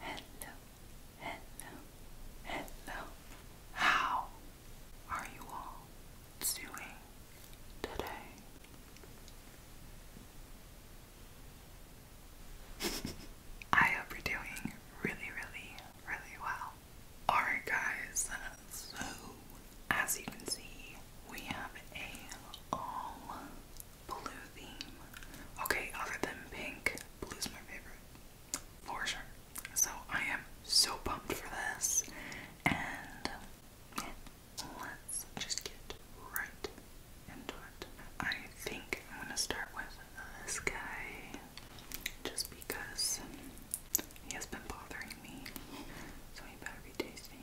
hello, hello, hello. How are you all doing today? I hope doing really, really, really well. Alright, guys, so as you can see, we have a all Blue theme. Okay, other than pink, blue's my favorite. For sure. So I am so pumped for this. And let's just get right into it. I think I'm gonna start with this guy just because he has been bothering me. So he better be tasty.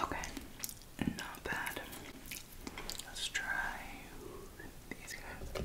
Okay, not bad. Let's try these guys.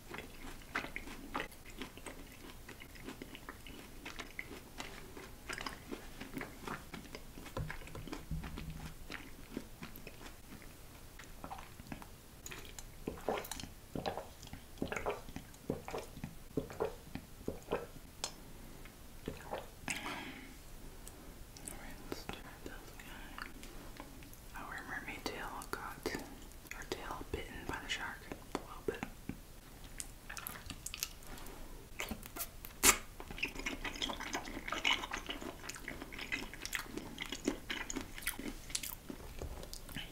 Alright, let Our mermaid tail got her tail bitten by the shark a little bit.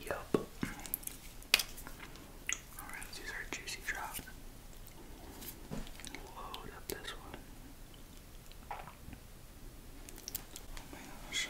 Yup. Alright, let's juicy drop. Load up this one. Oh my gosh.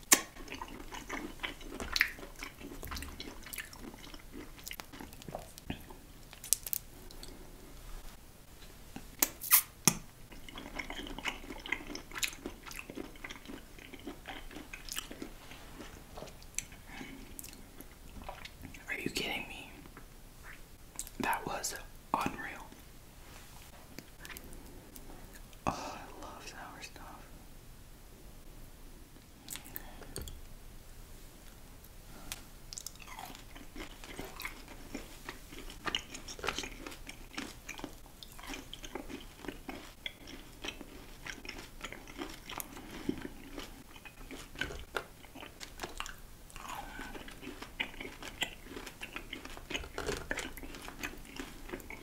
Are you kidding me? That was unreal. Oh, I love sour stuff.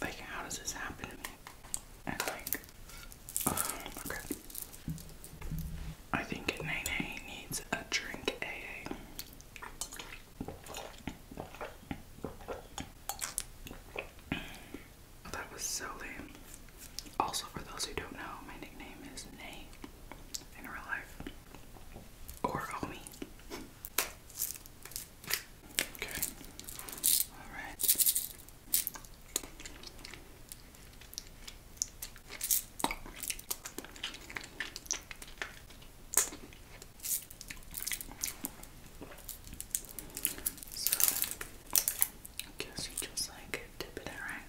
Like, how does this happen to me? And like, oh, okay. I think Nene needs a drink AA. Oh, that was so lame. Also, for those who don't know, my nickname is Nay in real life. Or Omi. Okay. All right. So, I guess you just like dip it in, right?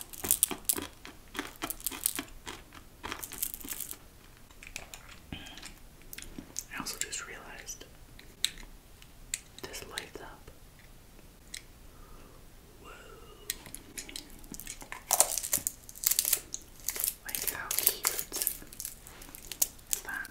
I also just realized this lights up. Whoa. Like, how cute is that?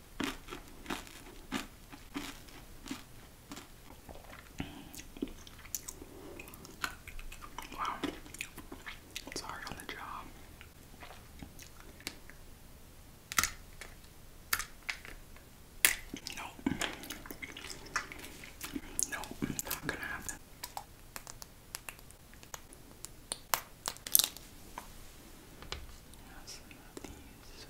Wow, it's hard on the job. Nope. Nope, not gonna happen. Yes, these.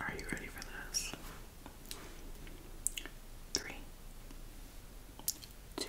Are you ready for this? Three, two,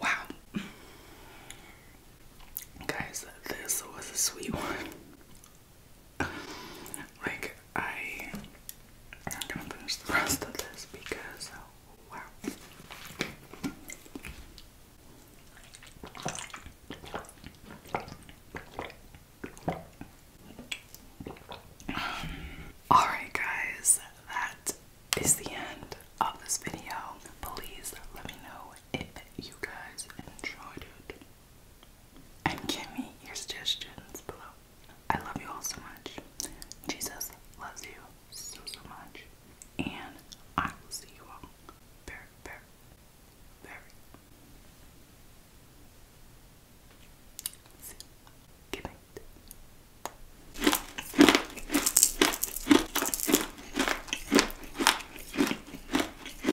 Wow. Guys, this was a sweet one like I I'm gonna finish the rest of this because oh, wow. Um, Alright guys, that is the end of this video. Please let me know if you guys enjoyed it and give me your suggestions below. I love you all so much. Jesus loves you so, so much. And I will see you all very, very, very soon. Good